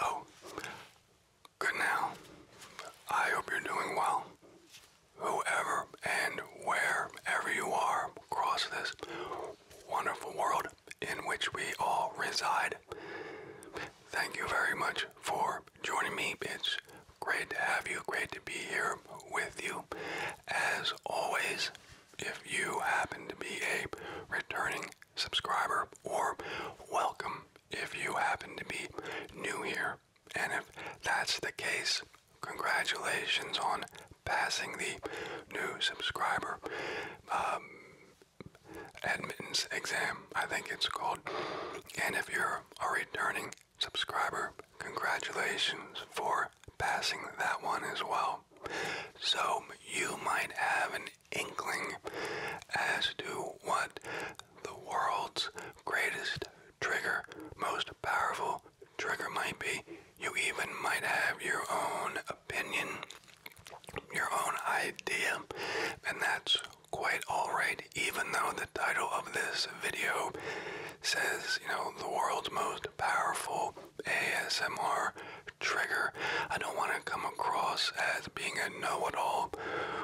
Oh, good now. I hope you're doing well. Whoever and wherever you are across this wonderful world in which we all reside, thank you very much for joining me. It's great to have you, great to be here with you. As always, if you happen to be a returning subscriber, or welcome if you happen to be new here, and if that's the case, congratulations on passing the new subscriber um, admittance exam, I think it's called. And if you're a returning subscriber. Congratulations for passing that one as well. So you might have an inkling as to what the world's greatest trigger, most powerful trigger might be. You even might have your own opinion, your own idea, and that's quite alright, even though the title of this video says, you know, the world's most powerful ASMR trigger. I don't want to come across as being a know it all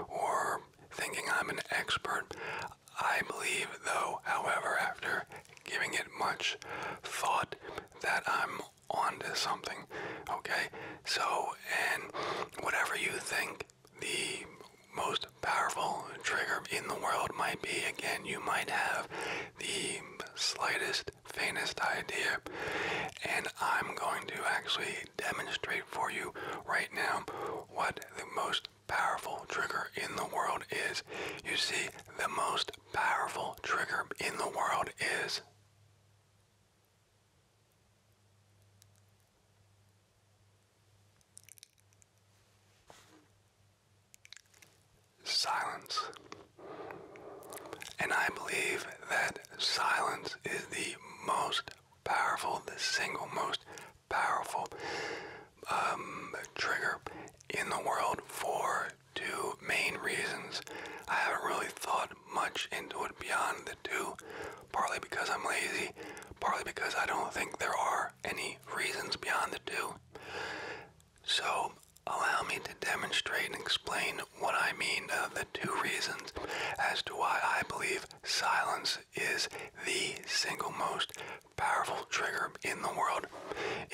or thinking I'm an expert. I believe, though, however, after giving it much thought, that I'm onto something. Okay? So, and whatever you think the most powerful trigger in the world might be. Again, you might have the slightest, faintest idea, and I'm going to actually demonstrate for you right now what the most powerful trigger in the world is. You see, the most powerful trigger in the world is silence. And I believe that silence is the most powerful, the single most powerful um, trigger in the world for two main reasons. I haven't really thought much into it beyond the two, partly because I'm lazy, partly because I don't think there are any reasons beyond the two. So, allow me to demonstrate and explain what I mean of uh, the two reasons as to why I believe silence is the single most powerful trigger in the world,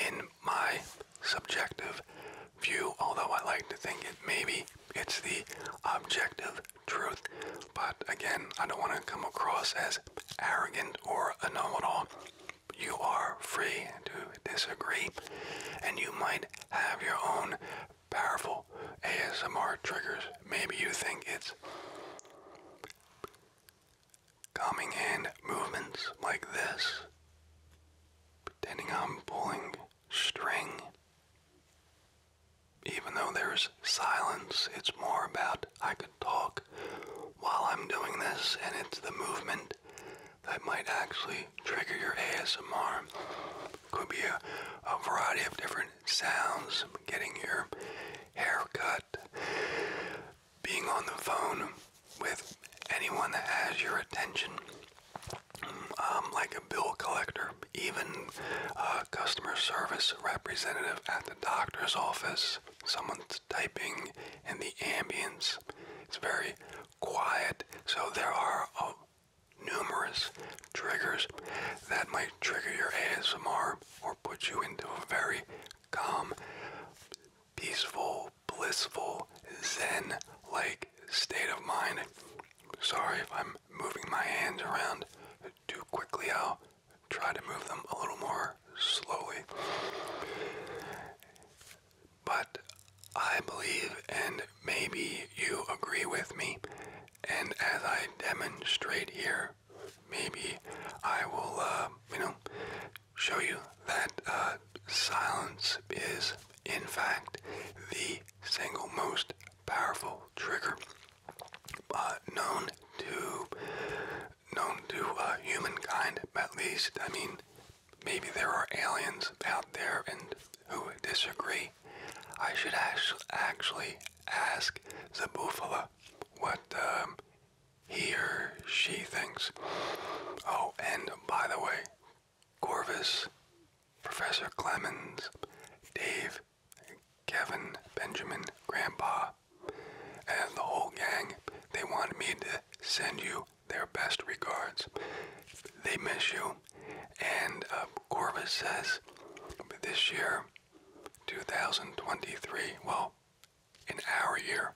in my subjective view, although I like to think it maybe it's the objective truth. But again, I don't want to come across as arrogant or a You are free to disagree, and you might have your own powerful ASMR triggers. Maybe you think it's calming and movements like this, pretending I'm pulling string. Even though there's silence, it's more about I could talk while I'm doing this, and it's the movement that might actually trigger your ASMR. Could be a, variety of different sounds, getting your haircut, being on the phone with anyone that has your attention, um, like a bill collector, even uh, customer service representative at the doctor's office. Someone's typing in the ambience. It's very quiet, so there are uh, numerous triggers that might trigger your ASMR or put you into a very calm, peaceful, blissful, zen like state of mind. Sorry if I'm moving my hands around too quickly. Out try to move them a little more slowly. But I believe, and maybe you agree with me, and as I demonstrate here, maybe I will, uh, you know, show you that uh, silence is, in fact, the single most powerful trigger uh, known to known to uh, humankind. At least, I mean, maybe there are aliens out there and who disagree. I should actually ask the Bufala what um, he or she thinks. Oh, and by the way, Corvus, Professor Clemens, Dave, Kevin, Benjamin, Grandpa, and the whole gang, they wanted me to send you their best regards. They miss you. And uh, says this year, 2023, well, in our year,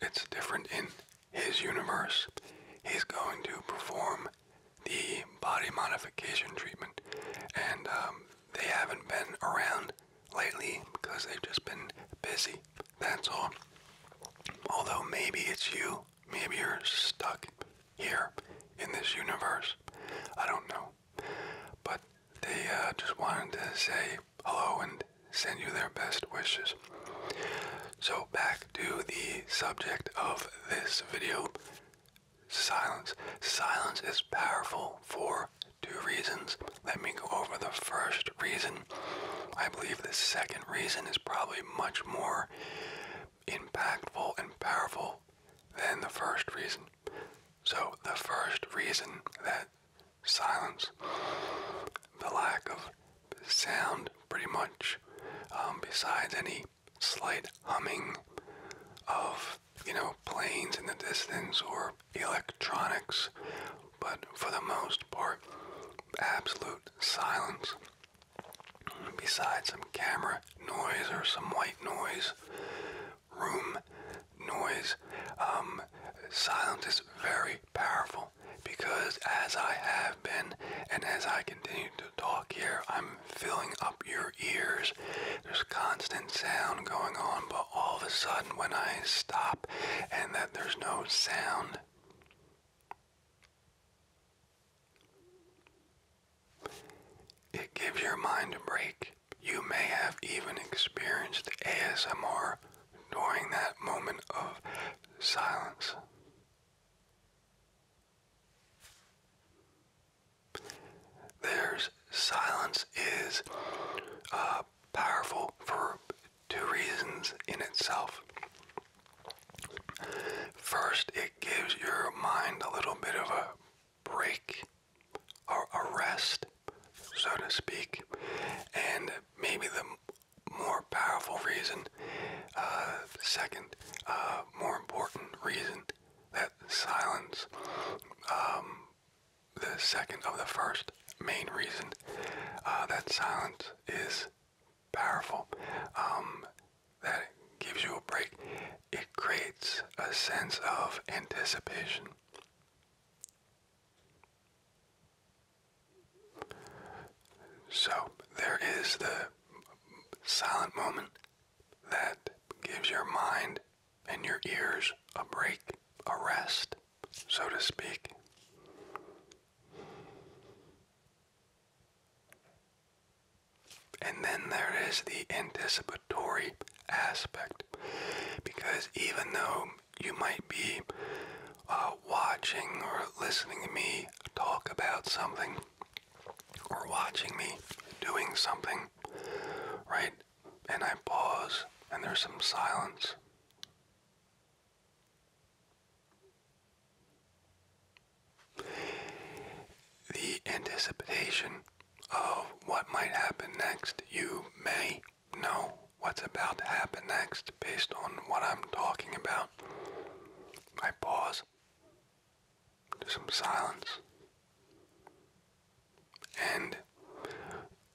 it's different in his universe. He's going to perform the body modification treatment. And um, they haven't been around lately because they've just been busy. That's all. Although maybe it's you, maybe you're stuck here in this universe. I don't know. But they uh, just wanted to say hello and send you their best wishes. So, back to the subject of this video Silence. Silence is powerful for two reasons. Let me go over the first reason. I believe the second reason is probably much more impactful and powerful than the first reason. So, the first reason that silence, the lack of sound, pretty much, um, besides any slight humming of you know, planes in the distance or electronics, but for the most part, absolute silence. Besides some camera noise or some white noise, room noise, um, silence is very powerful because as I have been and as I continue to talk here, I'm filling up your ears there's constant sound going on, but all of a sudden when I stop and that there's no sound, it gives your mind a break. You may have even experienced ASMR during that moment of silence. There's silence is uh, powerful for two reasons in itself. First, it gives your mind a little bit of a break or a rest, so to speak. And maybe the more powerful reason, uh, second, uh, more important reason that silence um, the second of the first main reason uh, that silence is powerful. Um, that gives you a break. It creates a sense of anticipation. So there is the silent moment that gives your mind and your ears a break, a rest, so to speak. And then there is the anticipatory aspect, because even though you might be uh, watching or listening to me talk about something, or watching me doing something, right? and I pause, and there's some silence. The anticipation of what might happen next, you may know what's about to happen next based on what I'm talking about. I pause. There's some silence. And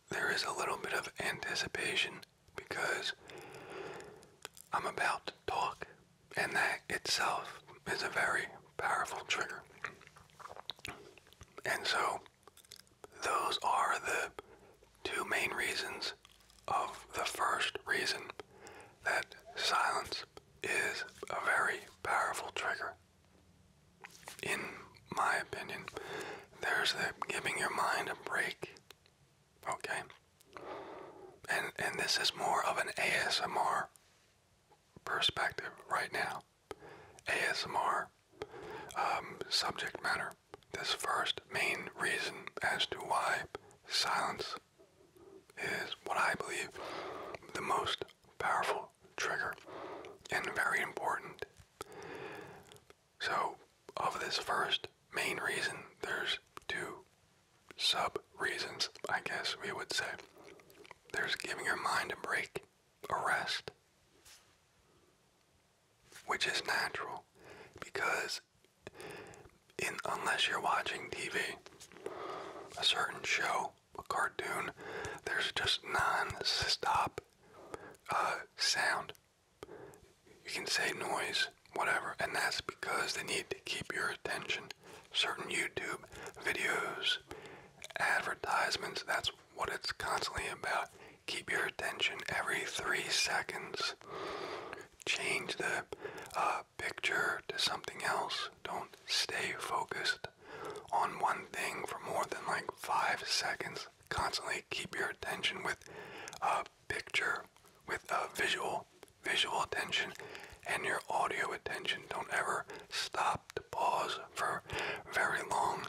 there is a little bit of anticipation because I'm about to talk, and that itself is a very powerful trigger. And so, those are the two main reasons of the first reason that silence is a very powerful trigger in my opinion, there's the giving your mind a break. Okay? And and this is more of an ASMR perspective right now. ASMR um, subject matter. This first main reason as to why silence is what I believe the most powerful trigger and very important. So, of this first main reason, there's two sub reasons, I guess we would say. There's giving your mind a break, a rest, which is natural because in unless you're watching TV, a certain show a cartoon, there's just non-stop uh, sound. You can say noise, whatever, and that's because they need to keep your attention. Certain YouTube videos, advertisements, that's what it's constantly about. Keep your attention every three seconds. Change the uh, picture to something else. Don't stay focused on one thing for more than like five seconds. Constantly keep your attention with a picture, with a visual, visual attention, and your audio attention. Don't ever stop to pause for very long.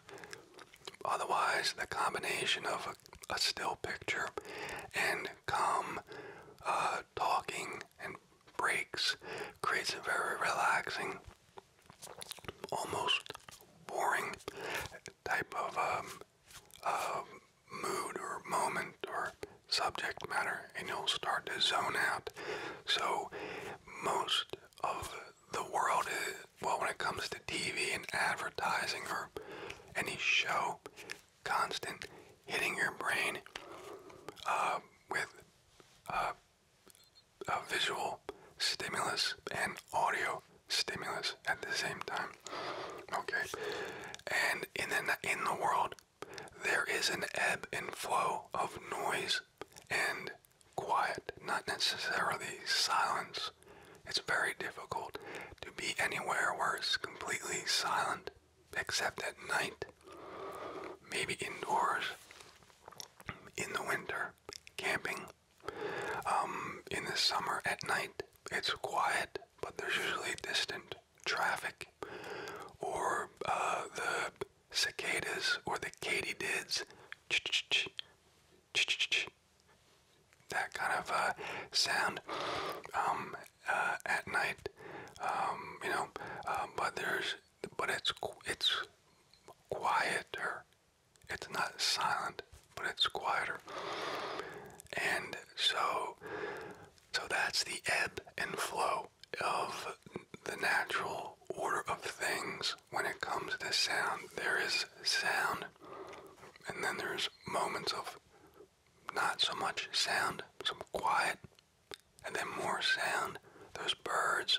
Otherwise, the combination of a, still picture and calm uh, talking and breaks creates a very relaxing almost boring type of um, um, mood or moment or subject matter, and you'll start to zone out. So, most of the world, well, when it comes to TV and advertising or any show, constant hitting your brain uh, with uh, a uh, visual stimulus and audio stimulus at the same time. Okay, and in in the world, there is an ebb and flow of noise and quiet, not necessarily silence. It's very difficult to be anywhere where it's completely silent, except at night, maybe indoors, in the winter, camping, um, in the summer at night, it's quiet, but there's usually distant traffic, or uh, the cicadas or the katydids. That kind of uh, sound um, uh, at night, um, you know. Uh, but there's, but it's it's quieter it's not silent, but it's quieter. And so so that's the ebb and flow of the natural order of things when it comes to sound. There is sound and then there's moments of not so much sound, some quiet, and then more sound. There's birds,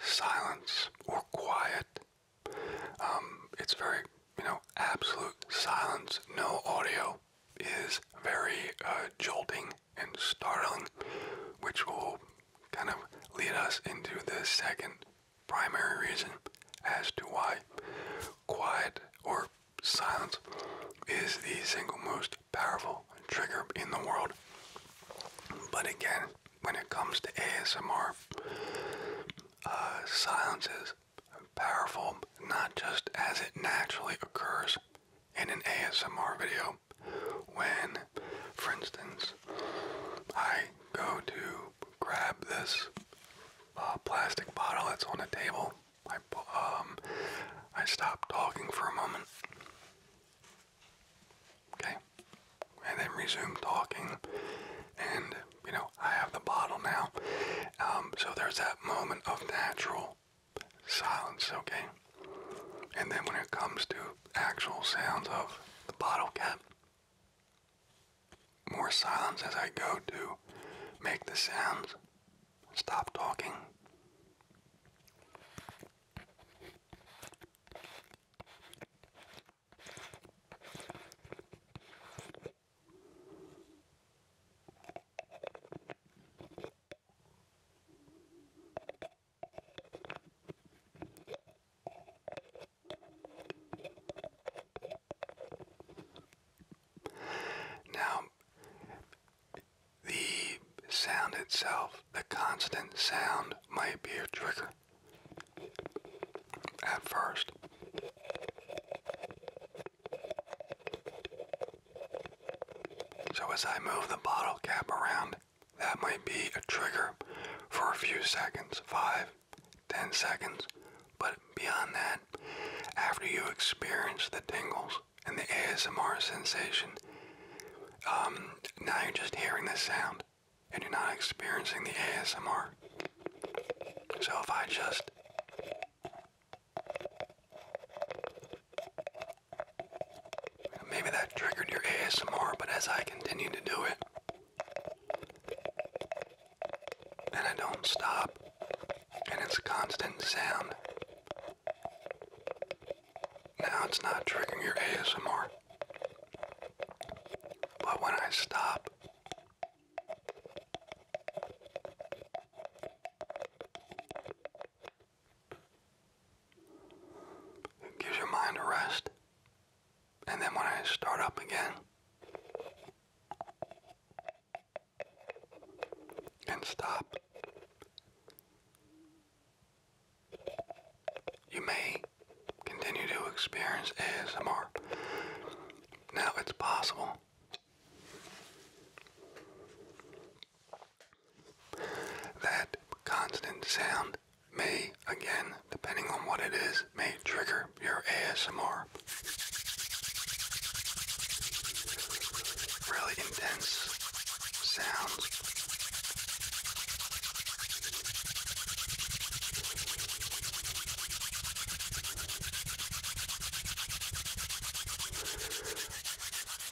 silence or quiet. Um, it's very, you know, absolute silence, no audio is very uh, jolting and startling, which will kind of lead us into the second primary reason as to why quiet or silence is the single most powerful trigger in the world. But again, when it comes to ASMR, uh, silence is powerful not just as it naturally occurs in an ASMR video. When, for instance, I go to grab this uh, plastic bottle that's on the table, I um, I stop talking for a moment, Okay? And then resume talking. And, you know, I have the bottle now. Um, so there's that moment of natural silence, okay? And then when it comes to actual sounds of the bottle cap, more silence as I go to make the sounds. Stop talking. Now, the sound itself the constant sound might be a trigger at first. So as I move the bottle cap around, that might be a trigger for a few seconds, five, ten seconds. But beyond that, after you experience the tingles and the ASMR sensation, um, now you're just hearing the sound and you're not experiencing the ASMR. So if I just maybe that triggered your ASMR, but as I continue to do it and I don't stop and it's constant sound. Now it's not triggering your ASMR. But when I stop, it gives your mind a rest. And then when I start up again and stop, you may continue to experience ASMR. Now it's possible that constant sound may, again, depending on what it is, may trigger your ASMR. Really intense sounds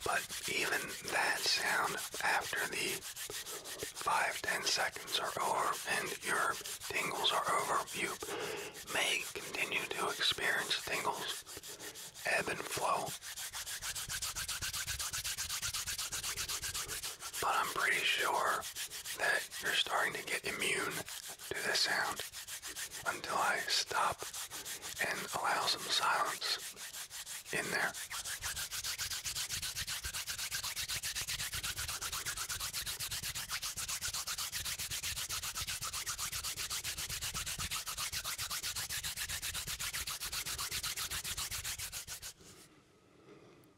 but even that sound after the five, ten seconds are over and your tingles are over, you may continue to experience tingles ebb and flow but I'm pretty sure that you're starting to get immune to the sound until I stop and allow some silence in there.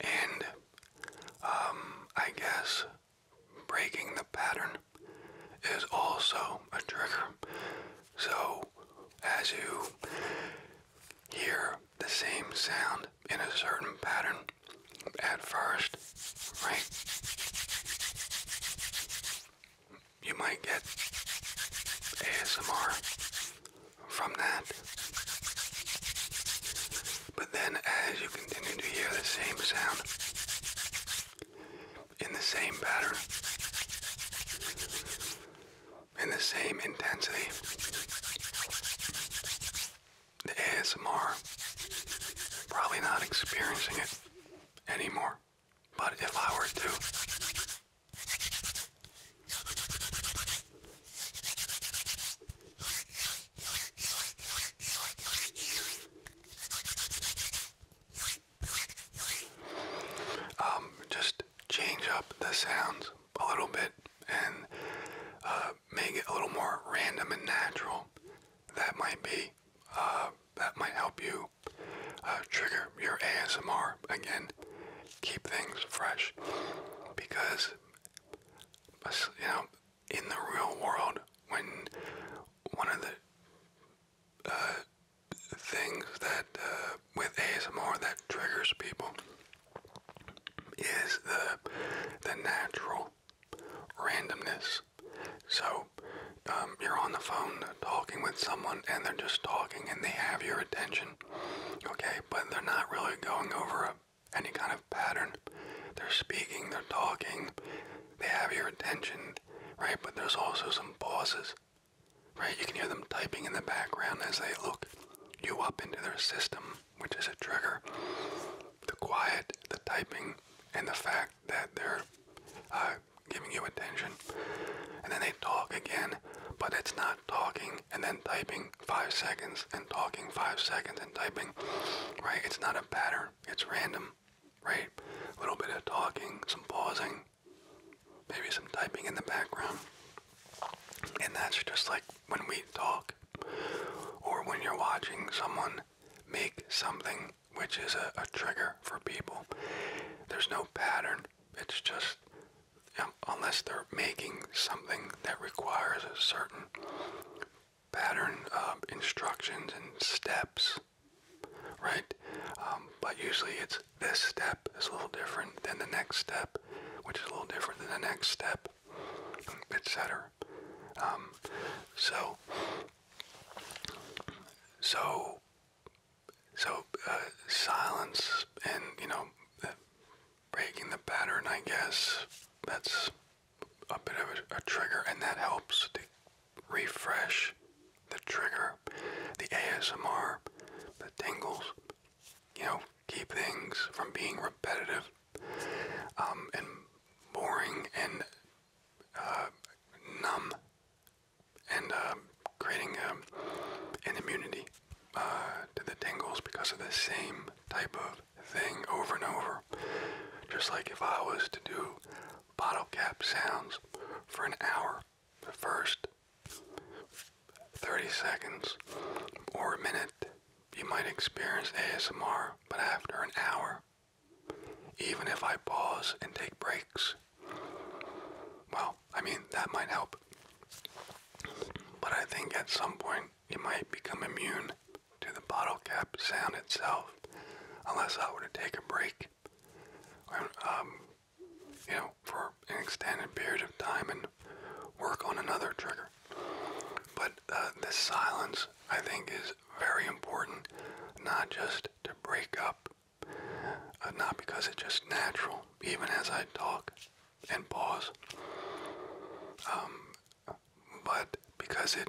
And um, I guess breaking the pattern is also a trigger. So as you hear the same sound in a certain pattern at first, right? You might get ASMR from that. But then as you continue to hear the same sound in the same pattern, in the same intensity, the ASMR. Probably not experiencing it anymore. But if I were to, um, just change up the sounds a little bit and uh, make it a little more random and natural, that might be, uh, that might help you uh, trigger your ASMR again. Keep things fresh because, you know, in the real world, when one of the uh, things that with ASMR that triggers people is the the natural randomness. So um, you're on the phone talking with someone and they're just talking and they have your attention, okay? But they're not really going over any kind of pattern. They're speaking, they're talking, they have your attention, right? But there's also some pauses, right? You can hear them typing in the background as they look you up into their system which is a trigger, the quiet, the typing, and the fact that they're uh, giving you attention. And then they talk again, but it's not talking and then typing five seconds and talking five seconds and typing, right? It's not a pattern, it's random, right? A little bit of talking, some pausing, maybe some typing in the background. And that's just like when we talk or when you're watching someone make something which is a, trigger for people. There's no pattern. It's just unless they're making something that requires a certain pattern of instructions and steps, right? Um, but usually it's this step is a little different than the next step, which is a little different than the next step, etc. Um, so, so, so uh, silence and you know uh, breaking the pattern. I guess that's a bit of a trigger, and that helps to refresh the trigger, the ASMR, the tingles. You know, keep things from being repetitive um, and boring and uh, numb and uh, creating um, an immunity uh, to the tingles because of the same type of thing over and over. Just like if I was to do bottle cap sounds for an hour, the first 30 seconds or a minute you might experience ASMR, but after an hour, even if I pause and take breaks. Well, I mean, that might help. But I think at some point you might become immune to the bottle cap sound itself, unless I were to take a break, or, um, you know, for an extended period of time and work on another trigger. But uh, this silence, I think, is very important, not just to break up, uh, not because it's just natural, even as I talk and pause, um, but because it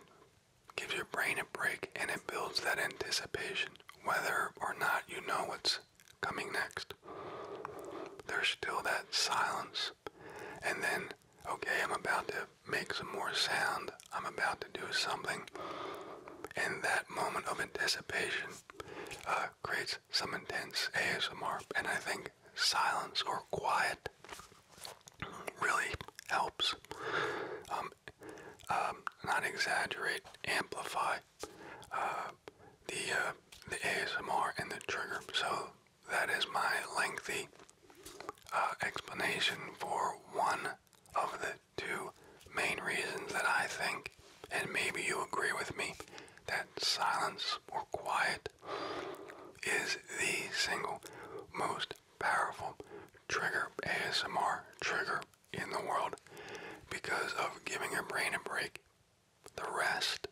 gives your brain a break and it builds that anticipation, whether or not you know what's coming next. There's still that silence, and then okay, I'm about to make some more sound. I'm about to do something. And that moment of anticipation uh, creates some intense ASMR. And I think silence or quiet really helps. Um, um, not exaggerate, amplify uh, the, uh, the ASMR and the trigger. So that is my lengthy uh, explanation for one of the two main reasons that I think, and maybe you agree with me, that silence or quiet is the single most powerful trigger, ASMR trigger in the world because of giving your brain a break. The rest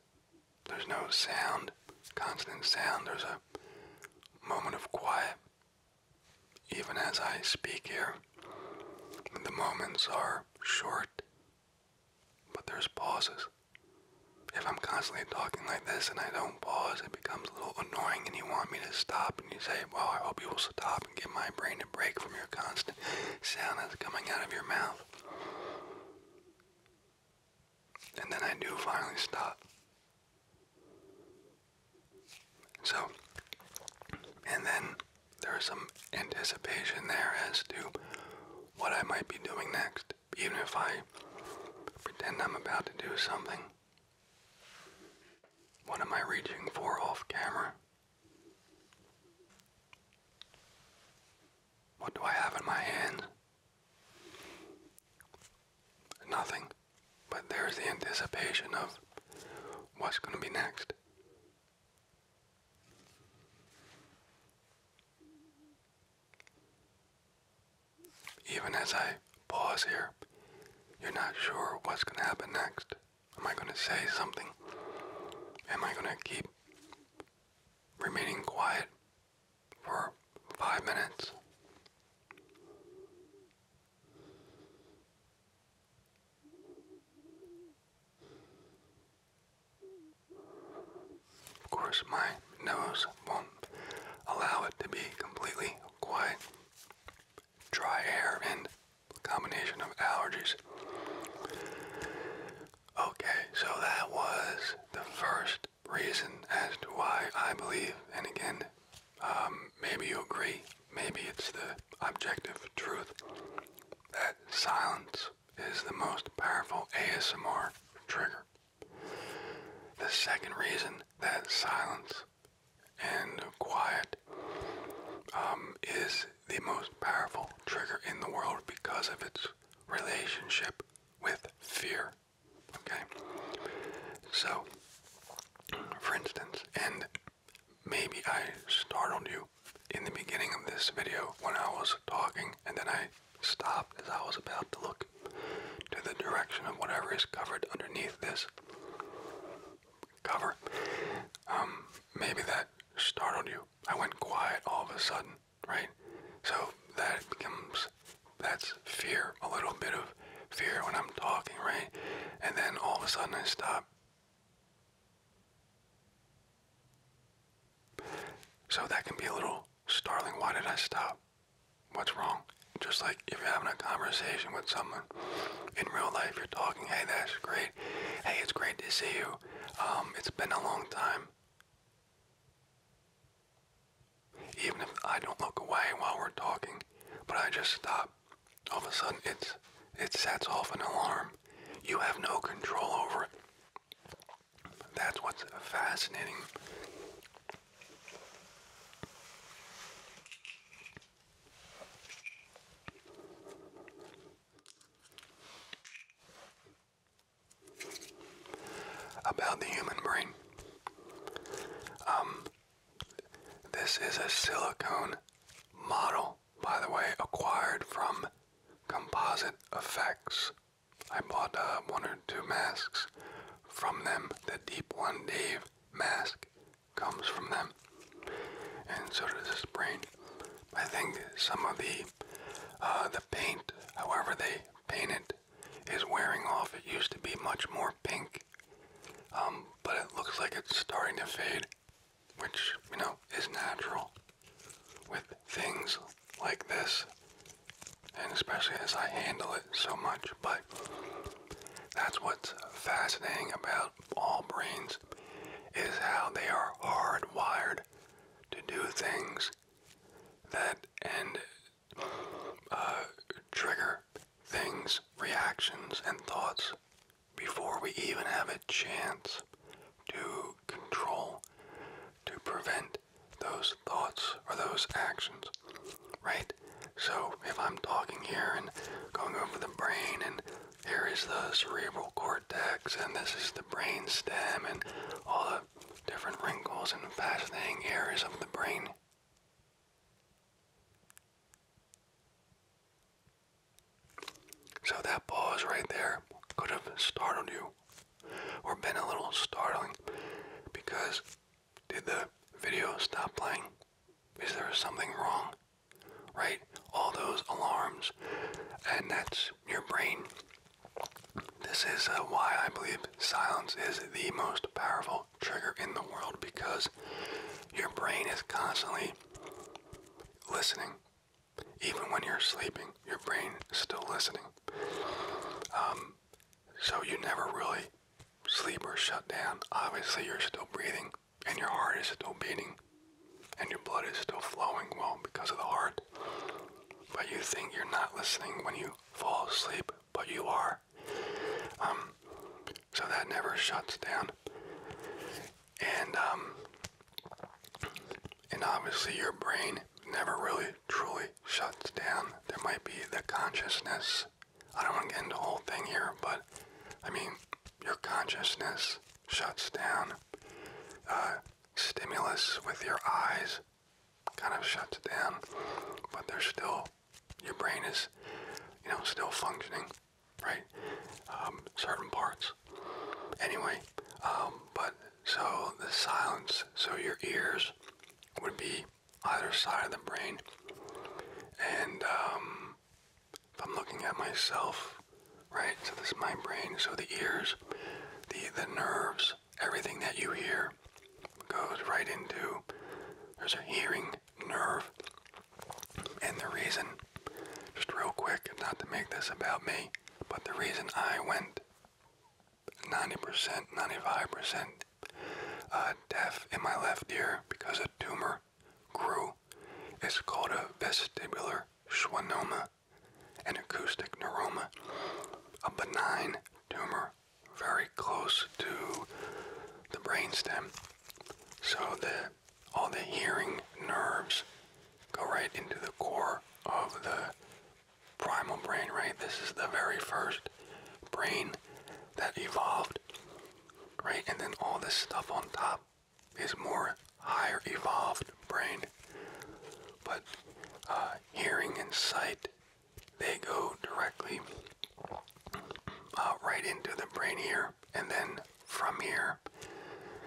there's no sound, constant sound. There's a moment of quiet. Even as I speak here, the moments are short, but there's pauses. If I'm constantly talking like this and I don't pause, it becomes a little annoying and you want me to stop and you say, well, I hope you will stop and give my brain a break from your constant sound that's coming out of your mouth. And then I do finally stop. So, and then there is some anticipation there as to what I might be doing next, even if I pretend I'm about to do something. What am I reaching for off camera? What do I have in my hand? Nothing, but there's the anticipation of what's going to be next. Even as I pause here, you're not sure what's going to happen next. Am I going to say something? Am I going to keep remaining quiet for five minutes. Of course, my nose won't allow it to be completely quiet. Dry air and combination of allergies. Okay, so that was the first reason as to why I believe, and again, um, maybe you agree, maybe it's the objective truth, that silence is the most powerful ASMR trigger. The second reason that silence and quiet um, is the most powerful trigger in the world because of its relationship with fear. Okay? So, for instance, and maybe I startled you in the beginning of this video when I was talking and then I stopped as I was about to look to the direction of whatever is covered underneath this cover. Um, maybe that startled you. I went quiet all of a sudden right? So that becomes that's fear, a little bit of fear when I'm talking, right? And then all of a sudden I stop. So that can be a little startling. Why did I stop? What's wrong? Just like if you're having a conversation with someone in real life, you're talking, hey, that's great. Hey, it's great to see you. Um, it's been a long time. Even if I don't look away while we're talking, but I just stop, all of a sudden it's it sets off an alarm. You have no control over it. That's what's fascinating about the human brain. Um, this is a silicone model, by the way, acquired from Composite Effects. I bought uh, one or two masks from them. The Deep One Dave mask comes from them, and so does this brain. I think some of the uh, the paint, however they painted is wearing off. It used to be much more pink, um, but it looks like it's starting to fade, which, you know, is natural with things like this, and especially as I handle it so much. But that's what's fascinating about all brains is how they are hardwired to do things that end uh, trigger things, reactions, and thoughts before we even have a chance to control, to prevent those thoughts or those actions, right? So if I'm talking here and going over the brain and here is the cerebral cortex and this is the brain stem and all different wrinkles and fascinating areas of the brain. So that pause right there could have startled you or been a little startling because did the video stop playing? Is there something wrong? Right? All those alarms and that's your brain this is uh, why I believe silence is the most powerful trigger in the world because your brain is constantly listening. Even when you're sleeping, your brain is still listening. Um, so you never really sleep or shut down. Obviously, you're still breathing and your heart is still beating and your blood is still flowing well because of the heart. But you think you're not listening when you fall asleep but you are. Um, so that never shuts down. And um, and obviously your brain never really truly shuts down. There might be the consciousness. I don't want to get into the whole thing here, but I mean, your consciousness shuts down. Uh, stimulus with your eyes kind of shuts down, but there's still, your brain is, you know, still functioning, right? Um, certain parts. Anyway, um, but so the silence, so your ears would be either side of the brain. And um, if I'm looking at myself, right, so this is my brain, so the ears, the, the nerves everything that you hear goes right into there's a hearing nerve. And the reason, just real quick, not to make this about me, but the reason I went 90%, 95% uh, deaf in my left ear because a tumor grew It's called a vestibular schwannoma, an acoustic neuroma, a benign tumor very close to the brainstem, so that all the hearing nerves go right into the core of the primal brain, right? This is the very first brain that evolved, right? And then all this stuff on top is more higher evolved brain. But uh, hearing and sight they go directly uh, right into the brain here, and then from here,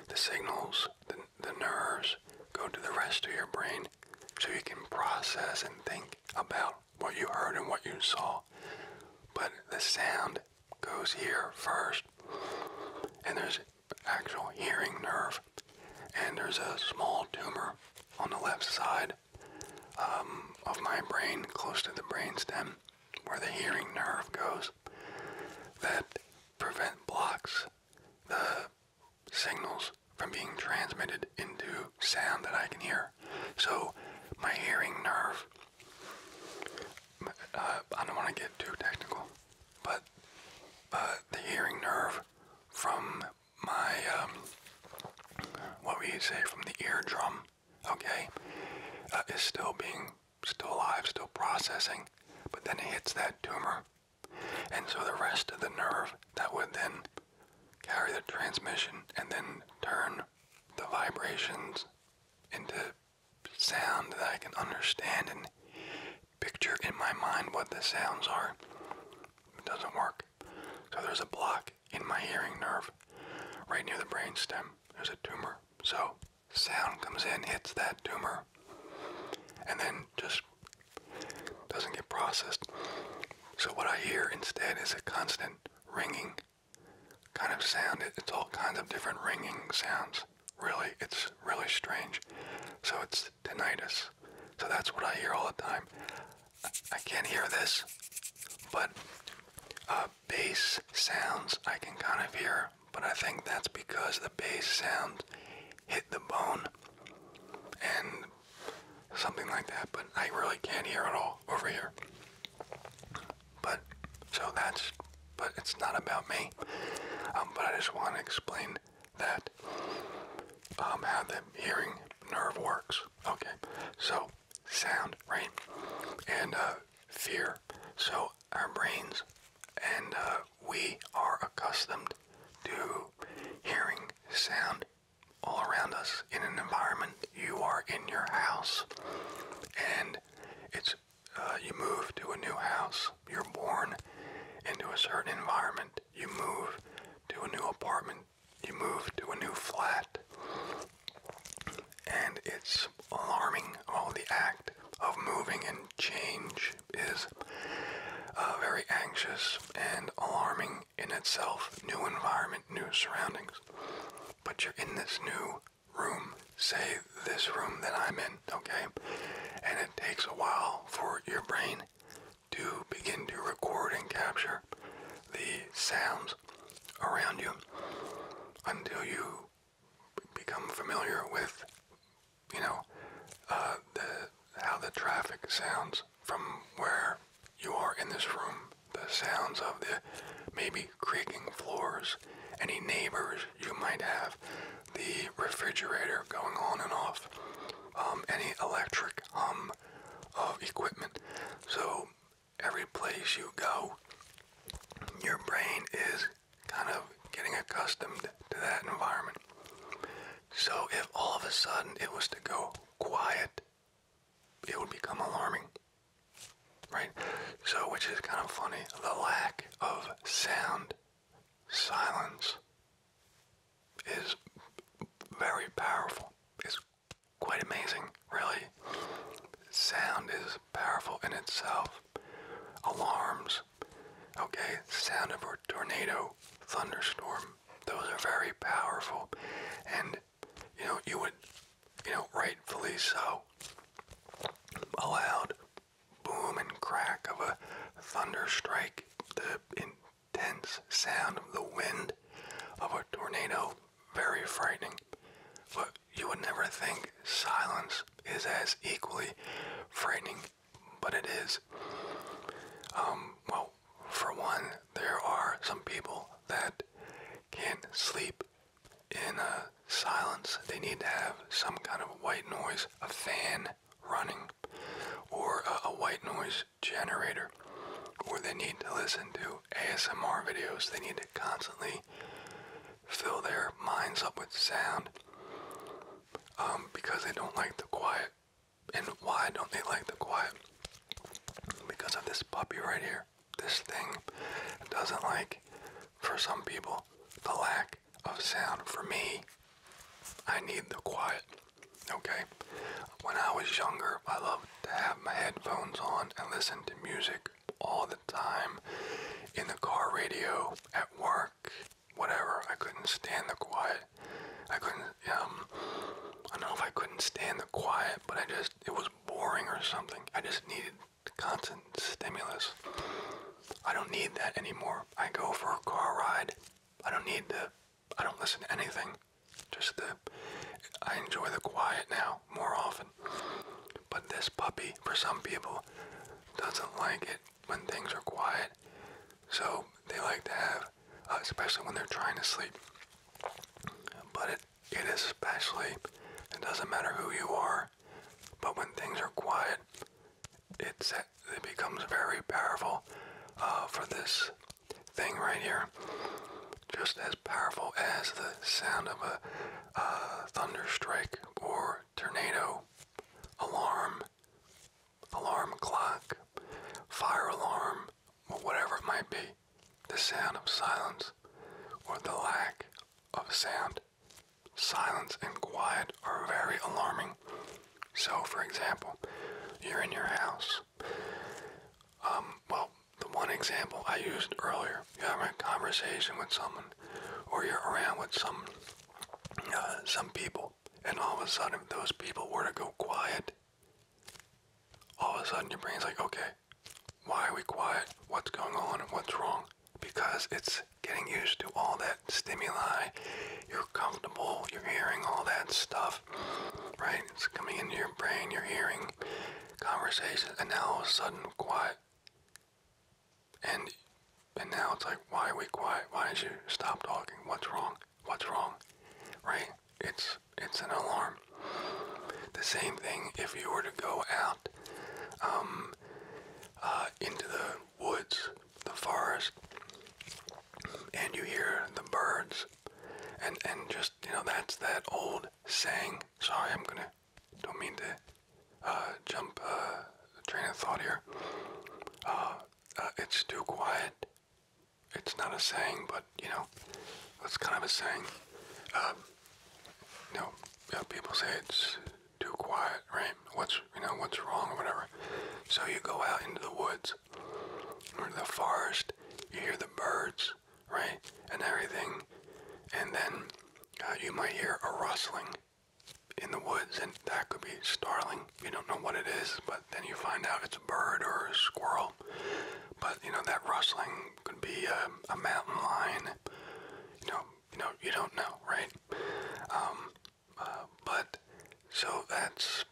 the signals, the, the nerves, go to the rest of your brain so you can process and think about what you heard and what you saw. But the sound goes here first, and there's actual hearing nerve, and there's a small tumor on the left side um, of my brain, close to the brain stem, where the hearing nerve goes, that prevent blocks the signals from being transmitted into sound that I can hear. So my hearing nerve, uh, I don't want to get too technical, but uh, the hearing nerve from my um, what we say from the eardrum, okay, uh, is still being still alive, still processing, but then it hits that tumor, and so the rest of the nerve that would then carry the transmission and then turn the vibrations into sound that I can understand and picture in my mind what the sounds are. It doesn't work. So there's a block in my hearing nerve, right near the brainstem. There's a tumor. So sound comes in, hits that tumor, and then just doesn't get processed. So what I hear instead is a constant ringing kind of sound. It's all kinds of different ringing sounds. Really, it's really strange. So it's tinnitus. So that's what I hear all the time. I can't hear this, but uh, bass sounds I can kind of hear, but I think that's because the bass sound hit the bone and something like that, but I really can't hear it all over here. But, so that's, but it's not about me. Um, but I just want to explain that, um, how the hearing nerve works. Okay, so sound, right? And uh, fear. So our brains and uh, we are accustomed to hearing sound all around us in an environment. You are in your house and it's uh, you move to a new house. You're born into a certain environment. You move to a new apartment you move to a new flat, and it's alarming. All the act of moving and change is uh, very anxious and alarming in itself. New environment, new surroundings. But you're in this new room, say this room that I'm in, okay? And it takes a while for your brain to begin to record and capture the sounds around you until you become familiar with, you know, uh, the, how the traffic sounds from where you are in this room, the sounds of the maybe creaking floors, any neighbors you might have, the refrigerator going on and off, um, any electric hum of equipment. So every place you go, your brain is kind of getting accustomed to that environment. So if all of a sudden it was to go quiet, it would become alarming. Right? So, which is kind of funny, the lack of sound, silence, is very powerful. It's quite amazing, really. Sound is powerful in itself. Alarms, okay, sound of a tornado, thunderstorm, those are very powerful. And, you know, you would, you know, rightfully so, a loud boom and crack of a thunder strike, the in intense sound of the wind of a tornado very frightening. But you would never think silence is as equally frightening, but it is. Um, well, for one, there are some people that can't sleep in uh, silence. They need to have some kind of white noise, a fan running, or a, a white noise generator, or they need to listen to ASMR videos. They need to constantly fill their minds up with sound um, because they don't like the quiet. And why don't they like the quiet? Because of this puppy right here. This thing doesn't like, for some people, the lack of sound. For me, I need the quiet. Okay? When I was younger, I loved to have my headphones on and listen to music all the time in the car radio, at work, whatever. I couldn't stand the quiet. I couldn't, um, I don't know if I couldn't stand the quiet, but I just, it was boring or something. I just needed constant stimulus. I don't need that anymore. I go for a car ride. I don't need the I don't listen to anything. Just the I enjoy the quiet now more often. But this puppy, for some people, doesn't like it when things are quiet. So they like to have, uh, especially when they're trying to sleep. But it, it is especially, it doesn't matter who you are, but when things are quiet, it's, it becomes very powerful uh, for this thing right here. Just as powerful as the sound of a thunder strike or tornado, alarm, alarm clock, fire alarm, or whatever it might be. The sound of silence or the lack of sound. Silence and quiet are very alarming. So, for example, you're in your house um, well, the one example I used earlier, you're having a conversation with someone, or you're around with some, uh, some people, and all of a sudden, those people were to go quiet, all of a sudden your brain's like, okay, why are we quiet? What's going on? What's wrong? Because it's getting used to all that stimuli. You're comfortable. You're hearing all that stuff right? It's coming into your brain, you're hearing conversations, and now all of a sudden, quiet. And and now it's like, why are we quiet? Why did you stop talking? What's wrong? What's wrong? Right? It's it's an alarm. The same thing if you were to go out um, uh, into the woods, the forest, and you hear the birds and and just you know that's that old saying. Sorry, I'm gonna don't mean to uh, jump a uh, train of thought here. Uh, it's too quiet. It's not a saying, but you know, it's kind of a saying. Um, you know, people say it's too quiet, right? What's you know what's wrong or whatever. So you go out into the woods or the forest. You hear the birds right, and everything. And then uh, you might hear a rustling in the woods, and that could be starling. You don't know what it is, but then you find out it's a bird or a squirrel. But you know that rustling could be a, mountain lion. You know, you know, you don't know, right? Um, uh, but so that's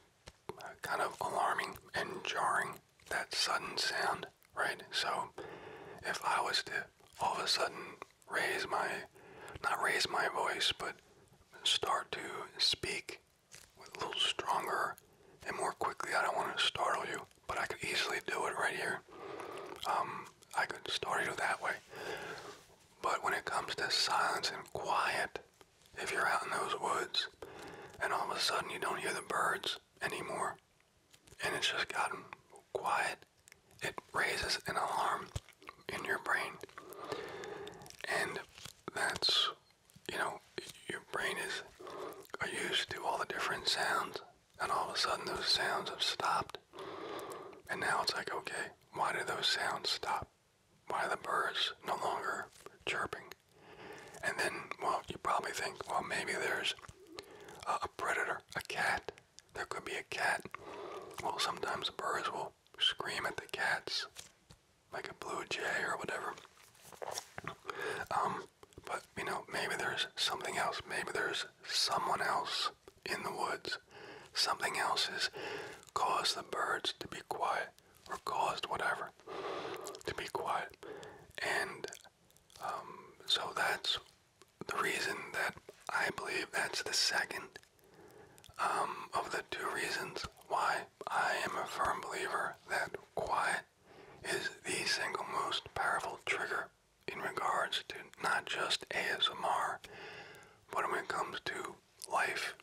kind of alarming and jarring, that sudden sound, right? So if I was to all of a sudden raise my, not raise my voice, but start to speak a little stronger and more quickly, I don't want to startle you, but I could easily do it right here. Um, I could startle you that way. But when it comes to silence and quiet, if you're out in those woods and all of a sudden you don't hear the birds, anymore. And it's just gotten quiet. It raises an alarm in your brain. And that's, you know, your brain is used to all the different sounds. And all of a sudden those sounds have stopped. And now it's like, okay, why do those sounds stop? Why the birds no longer chirping? And then, well, you probably think, well, maybe there's uh, a predator, a cat. There could be a cat. Well, sometimes birds will scream at the cats, like a blue jay or whatever. Um, but, you know, maybe there's something else. Maybe there's someone else in the woods. Something else has caused the birds to be quiet or caused whatever to be quiet. And um, so that's the reason that I believe that's the second um, of the two reasons why I am a firm believer that quiet is the single most powerful trigger in regards to not just ASMR, but when it comes to life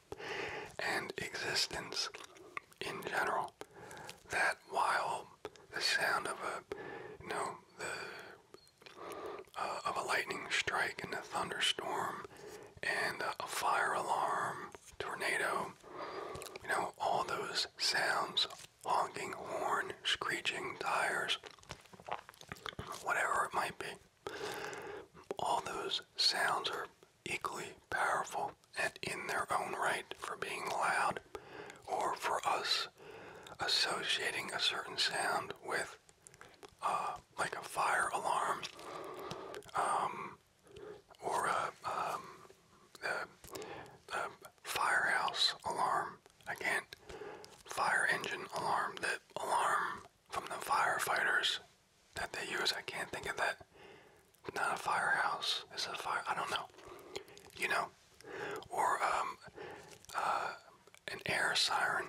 and existence in general that while the sound of a you know the uh, of a lightning strike and a thunderstorm and a fire alarm tornado you know all those sounds honking horn screeching tires whatever it might be all those sounds are equally powerful and in their own right for being loud or for us associating a certain sound with uh, like a fire alarm um, or a, um, the, the firehouse alarm. fire engine alarm, That alarm from the firefighters that they use. I can't think of that not a firehouse. Is it a fire? I don't know. You know, or um, uh, an air siren,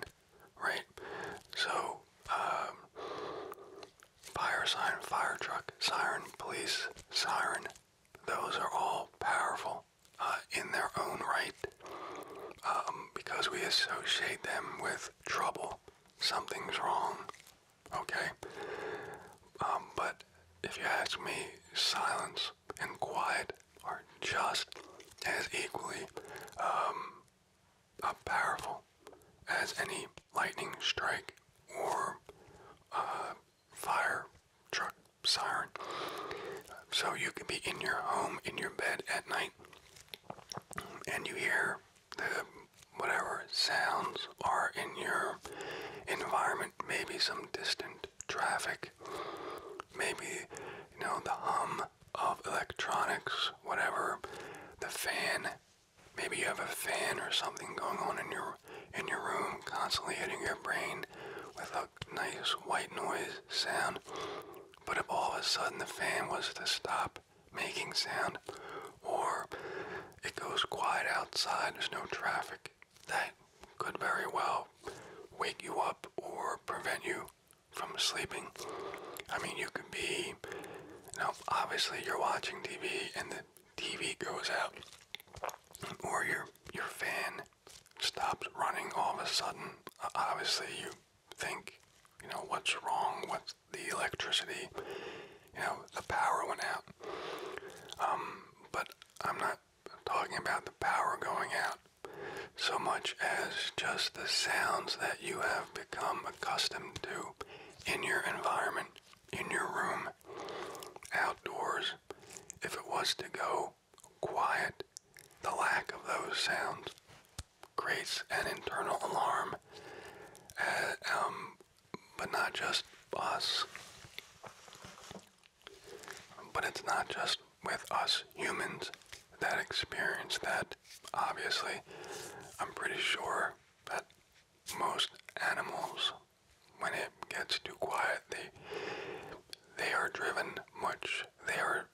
right? So, um, fire sign, fire truck, siren, police siren. Those are all powerful uh, in their own right um, because we associate them with trouble. Something's wrong okay? Um, but if you ask me, silence and quiet are just as equally um, powerful as any lightning strike or uh, fire truck siren. So you can be in your home, in your bed at night, and you hear the whatever sounds are in your environment maybe some distant traffic, maybe, you know, the hum of electronics, whatever, the fan. Maybe you have a fan or something going on in your in your room, constantly hitting your brain with a nice white noise sound. But if all of a sudden the fan was to stop making sound, or it goes quiet outside, there's no traffic. That could very well wake you up or prevent you from sleeping. I mean, you could be, now obviously you're watching TV and the TV goes out, or your your fan stops running all of a sudden. Obviously, you think, you know, what's wrong? What's the electricity you know, the power went out. Um, but I'm not talking about the power going out so much as just the sounds that you have become accustomed to in your environment, in your room, outdoors. If it was to go quiet, the lack of those sounds creates an internal alarm, uh, um, but not just us. But it's not just with us humans that experience that. Obviously, I'm pretty sure that most animals, when it gets too quiet, they they are driven much. They are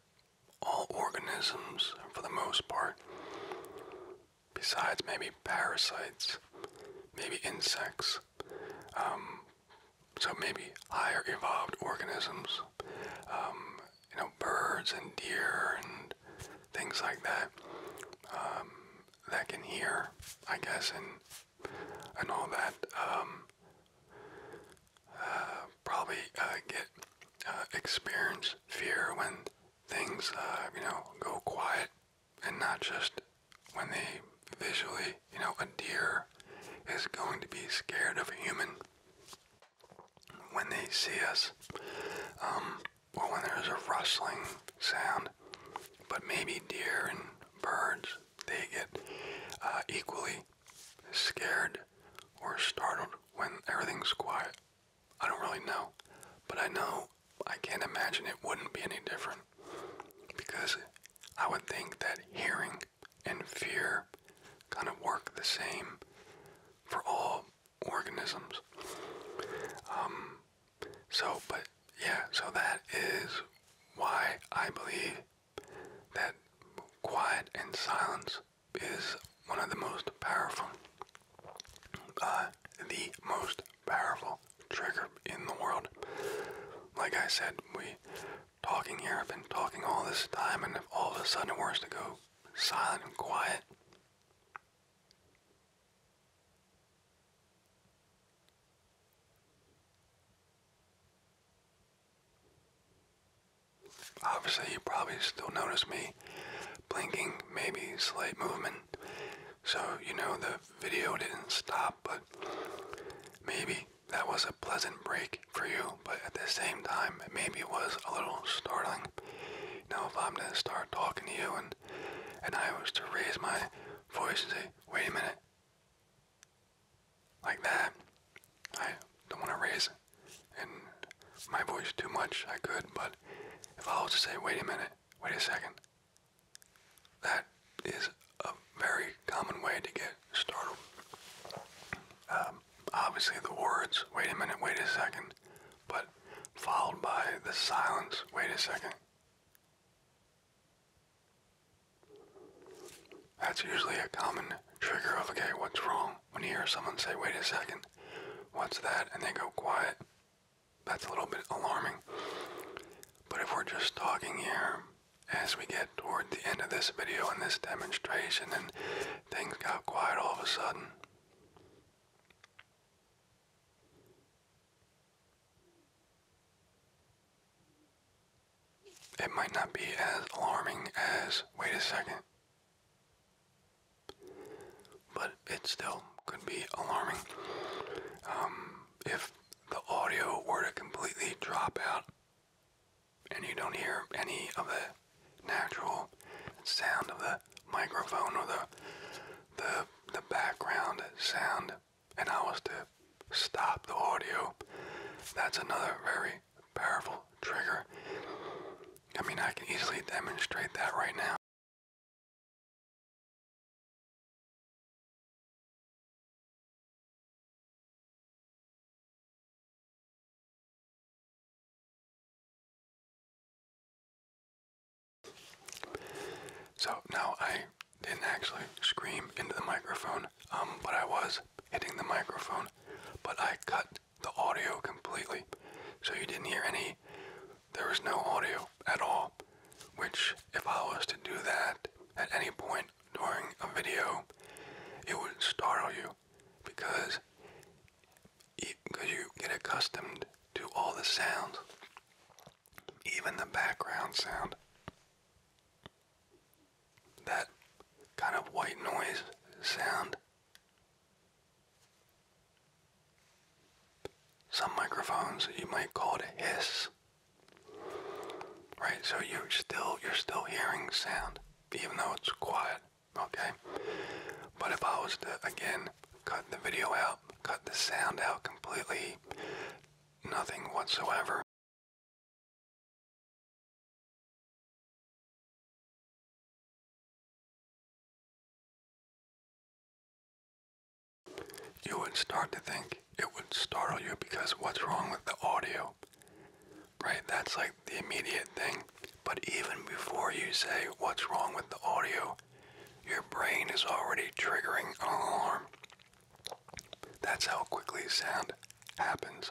all organisms for the most part. Besides maybe parasites, maybe insects, um, so maybe higher evolved organisms, um, you know, birds and deer and things like that, um, that can hear, I guess, and and all that. Uh, probably uh, get uh, experience fear when things, you know, go quiet and not just when they visually, you know, a deer is going to be scared of a human when they see us, um, or when there's a rustling sound. But maybe deer and birds, they get uh, equally scared or startled when everything's quiet. I don't really know, but I know I can't imagine it wouldn't be any different because I would think that hearing and fear kind of work the same for all organisms. Um, so, but yeah, so that is why I believe that quiet and silence is one of the most powerful, uh, the most powerful trigger in the world. Like I said, we talking here, I've been talking all this time, and all of a sudden it were to go silent and quiet, Obviously, you probably still notice me blinking, maybe slight movement. So, you know, the video didn't stop, but maybe that was a pleasant break for you, but at the same time, maybe it was a little startling. Now if I'm to start talking to you and, and I was to raise my voice and say, wait a minute, like that, I don't want to raise and my voice too much, I could, but if I was to say, wait a minute, wait a second, that is a very common way to get startled. Um, obviously, the words, wait a minute, wait a second, but followed by the silence, wait a second. That's usually a common trigger of, okay, what's wrong? When you hear someone say, wait a second, what's that? And they go quiet that's a little bit alarming. But if we're just talking here, as we get toward the end of this video and this demonstration, and things got quiet all of a sudden. It might not be as alarming as, wait a second, but it still could be alarming. Um, if the audio were to completely drop out and you don't hear any of the natural sound of the microphone or the the the background sound and I was to stop the audio, that's another very powerful trigger. I mean I can easily demonstrate that right now. So now I didn't actually scream into the microphone, um, but I was hitting the microphone, but I cut the audio completely. So you didn't hear any, there was no audio at all, which if I was to do that, at any point during a video, it would startle you because it, cause you get accustomed to all the sounds, even the background sound. That kind of white noise sound. Some microphones you might call it a hiss. Right, so you're still you're still hearing sound, even though it's quiet, okay? But if I was to again cut the video out, cut the sound out completely, nothing whatsoever. You would start to think it would startle you because what's wrong with the audio? Right? That's like the immediate thing. But even before you say what's wrong with the audio, your brain is already triggering an alarm. That's how quickly sound happens.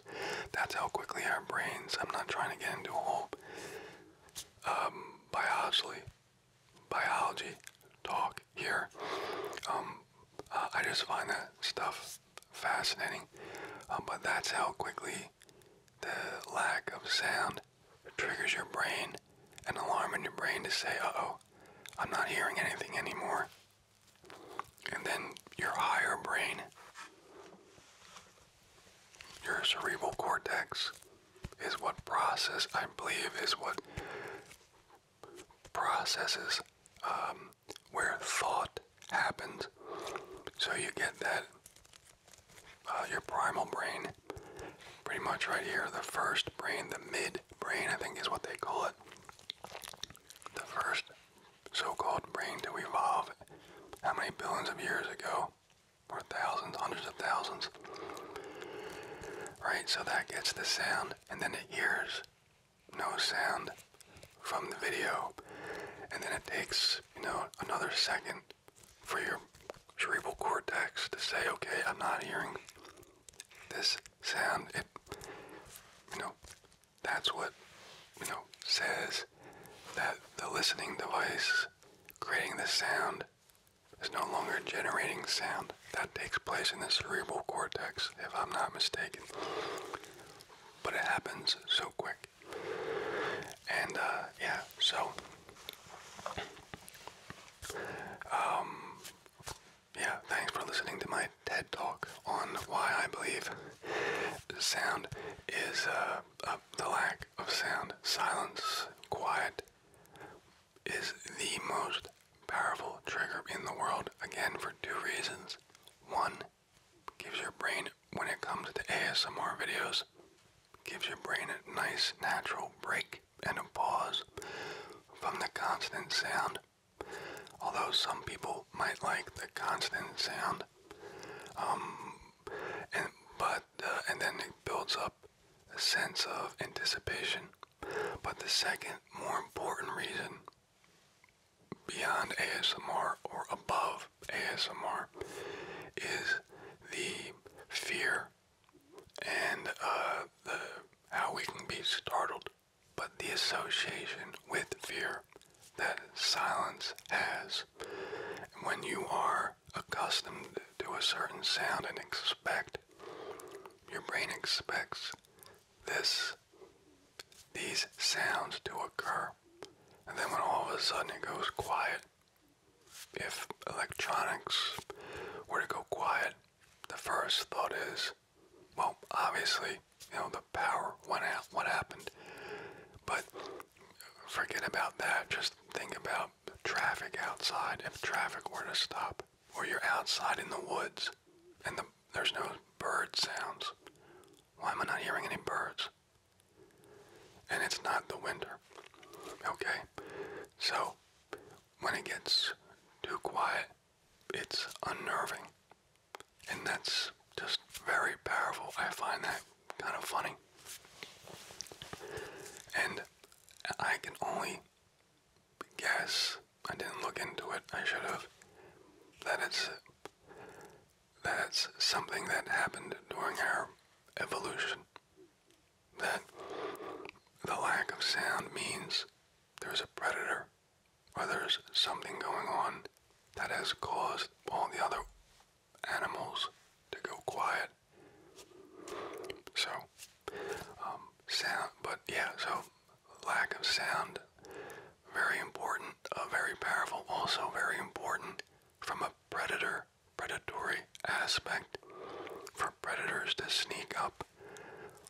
That's how quickly our brains, I'm not trying to get into a whole um, biology biology talk here. Um, uh, I just find that stuff fascinating, um, but that's how quickly the lack of sound triggers your brain, an alarm in your brain to say, uh oh, I'm not hearing anything anymore. And then your higher brain, your cerebral cortex, is what process, I believe, is what processes um, where thought happens. So you get that, uh, your primal brain, pretty much right here, the first brain, the mid brain, I think is what they call it. The first so-called brain to evolve how many billions of years ago, or thousands, hundreds of thousands. Right, so that gets the sound, and then the ears no sound from the video, and then it takes, you know, another second for your cerebral cortex to say, okay, I'm not hearing this sound. It, you know, that's what, you know, says that the listening device creating the sound is no longer generating sound that takes place in the cerebral cortex, if I'm not mistaken. But it happens so quick. And uh, yeah, so um, yeah, thanks for listening to my TED talk on why I believe sound is uh, uh, the lack of sound, silence, quiet, is the most powerful trigger in the world, again, for two reasons. One, gives your brain, when it comes to ASMR videos, gives your brain a nice natural break and a pause from the constant sound. Although some people might like the constant sound, um, and but uh, and then it builds up a sense of anticipation but the second, more important reason beyond ASMR or above ASMR is the fear and uh, the how we can be startled, but the association with fear that silence has. When you are accustomed to a certain sound and expect, your brain expects this these sounds to occur. And then when all of a sudden it goes quiet, if electronics were to go quiet, the first thought is, well, obviously, you know, the power went out, what happened? But forget about that. Just think about traffic outside. If traffic were to stop, or you're outside in the woods and there's no bird sounds. Why am I not hearing any birds? And it's not the winter. Okay? So, when it gets too quiet, it's unnerving. And that's just very powerful. I find that kind of funny. And I can only guess I didn't look into it. I should have. That it's that's something that happened during our evolution. That the lack of sound means there's a predator or there's something going on that has caused all the other animals to go quiet. So, um, sound, but yeah, so lack of sound, very important, uh, very powerful, also very important from a predator, predatory aspect for predators to sneak up,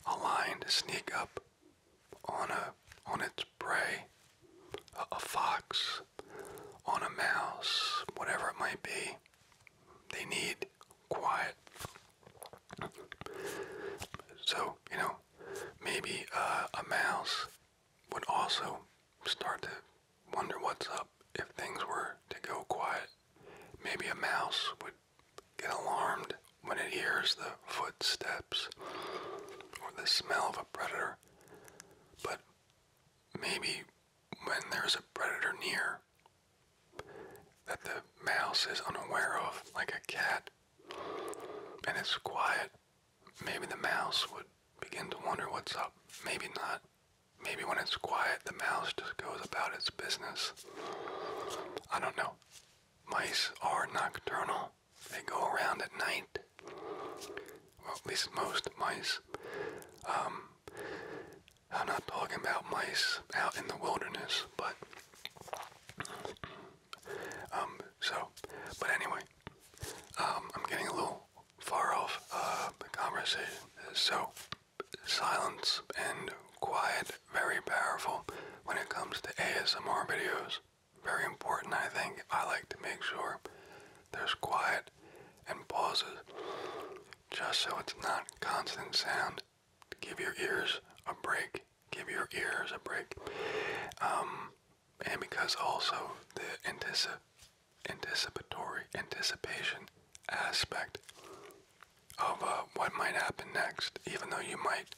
a lion to sneak up on a on its prey, a fox, on a mouse, whatever it might be. They need quiet so, you know, maybe uh, a mouse would also start to wonder what's up if things were to go quiet. Maybe a mouse would get alarmed when it hears the footsteps or the smell of a predator. But maybe when there's a predator near, that the mouse is unaware of, like a cat, and it's quiet, maybe the mouse would begin to wonder what's up. Maybe not. Maybe when it's quiet, the mouse just goes about its business. I don't know. Mice are nocturnal. They go around at night. Well, at least most mice. Um, I'm not talking about mice out in the wilderness, but um, so, but anyway, um, I'm getting a little far off uh, the conversation. So, silence and quiet, very powerful when it comes to ASMR videos. Very important, I think. I like to make sure there's quiet and pauses just so it's not constant sound Give your ears a break. Give your ears a break. Um, and because also the anticipatory anticipation aspect of uh, what might happen next, even though you might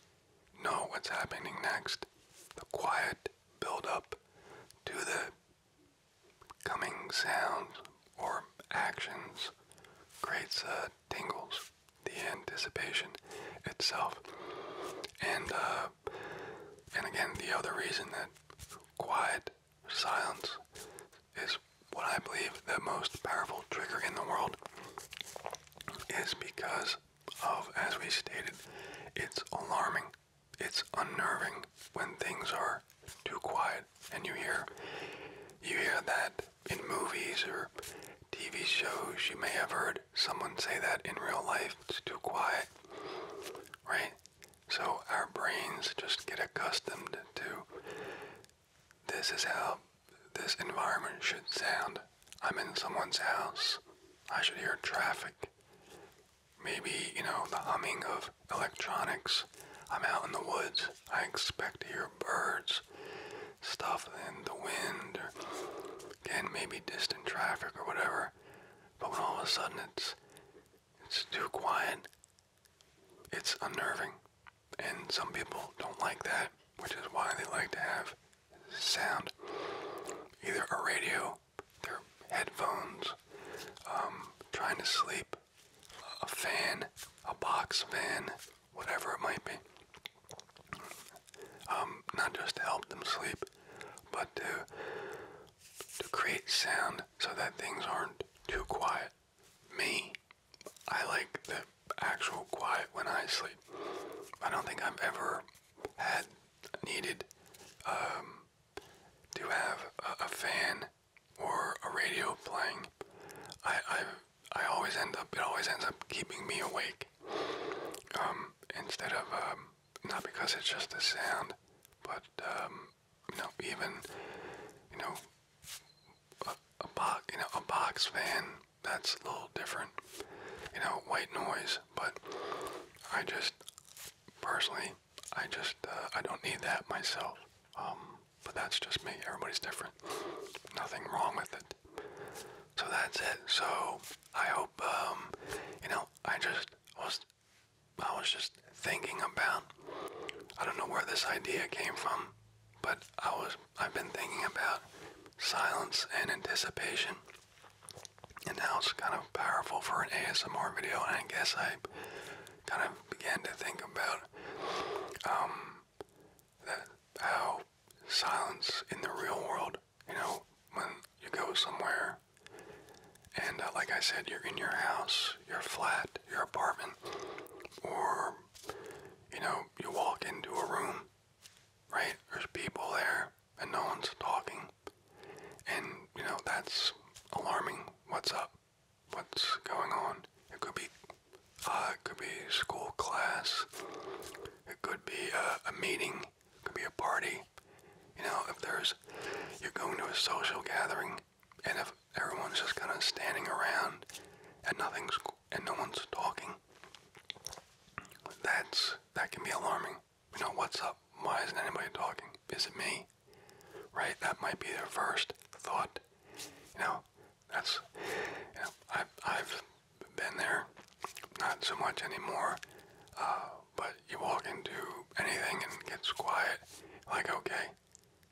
know what's happening next, the quiet build up to the coming sounds or actions creates tingles, the anticipation itself. And uh, and again, the other reason that quiet silence is what I believe the most powerful trigger in the world is because of, as we stated, it's alarming, it's unnerving when things are too quiet, and you hear you hear that in movies or TV shows. You may have heard someone say that in real life. It's too quiet, right? So our brains just get accustomed to this is how this environment should sound. I'm in someone's house. I should hear traffic. Maybe, you know, the humming of electronics. I'm out in the woods. I expect to hear birds stuff in the wind or again maybe distant traffic or whatever. But when all of a sudden it's it's too quiet, it's unnerving. And some people don't like that, which is why they like to have sound. Either a radio, their headphones, um, trying to sleep, a fan, a box fan, whatever it might be. Um, not just to help them sleep, but to to create sound so that things aren't too quiet. Me, I like the actual quiet when I sleep. I don't think I've ever had needed um, to have a, fan or a radio playing. I've I always end up, it always ends up keeping me awake. Um, instead of, um, not because it's just a sound, but, um, you know, even, you know, a, box, you know, a box fan, that's a little different, you know, white noise, but I just, personally, I just, uh, I don't need that myself. Um, but that's just me. Everybody's different. Nothing wrong with it. So that's it. So I hope um, you know. I just was. I was just thinking about. I don't know where this idea came from, but I was. I've been thinking about silence and anticipation, and now it's kind of powerful for an ASMR video. And I guess I kind of began to think about um, that how silence in the real world, you know, when you go somewhere and uh, like I said, you're in your house, your flat, your apartment, or you know, you walk into a room, right? There's people there and no one's talking. And you know, that's alarming. What's up? What's going on? It could be uh, it could be school class. It could be uh, a, meeting. It could be a party. You know, if there's, you're going to a social gathering, and if everyone's just kind of standing around and nothing's and no one's talking, that's that can be alarming. You know, what's up? Why isn't anybody talking? Is it me? Right? That might be their first thought. You know, that's. You know, i I've been there, not so much anymore. Uh, but you walk into anything and it gets quiet, like okay,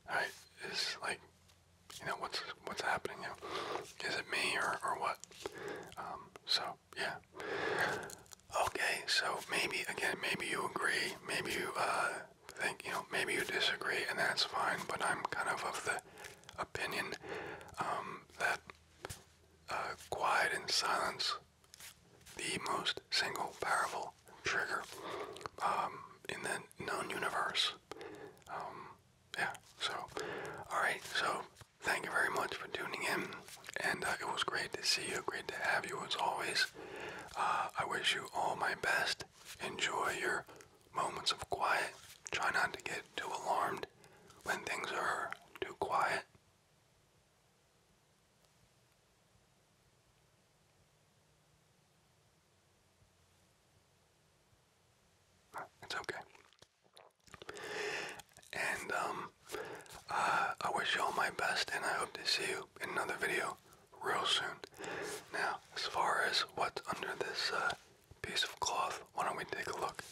all right, is like, you know, what's what's happening? You is it me or or what? Um, so yeah. Okay, so maybe again, maybe you agree, maybe you uh, think you know, maybe you disagree, and that's fine. But I'm kind of of the opinion um, that uh, quiet and silence, the most single powerful trigger um, in the known universe. Um, yeah, so, alright, so thank you very much for tuning in, and uh, it was great to see you, great to have you as always. Uh, I wish you all my best. Enjoy your moments of quiet. Try not to get too alarmed when things are too quiet. It's okay. And um, uh, I wish you all my best, and I hope to see you in another video real soon. Now, as far as what's under this uh, piece of cloth. Why don't we take a look?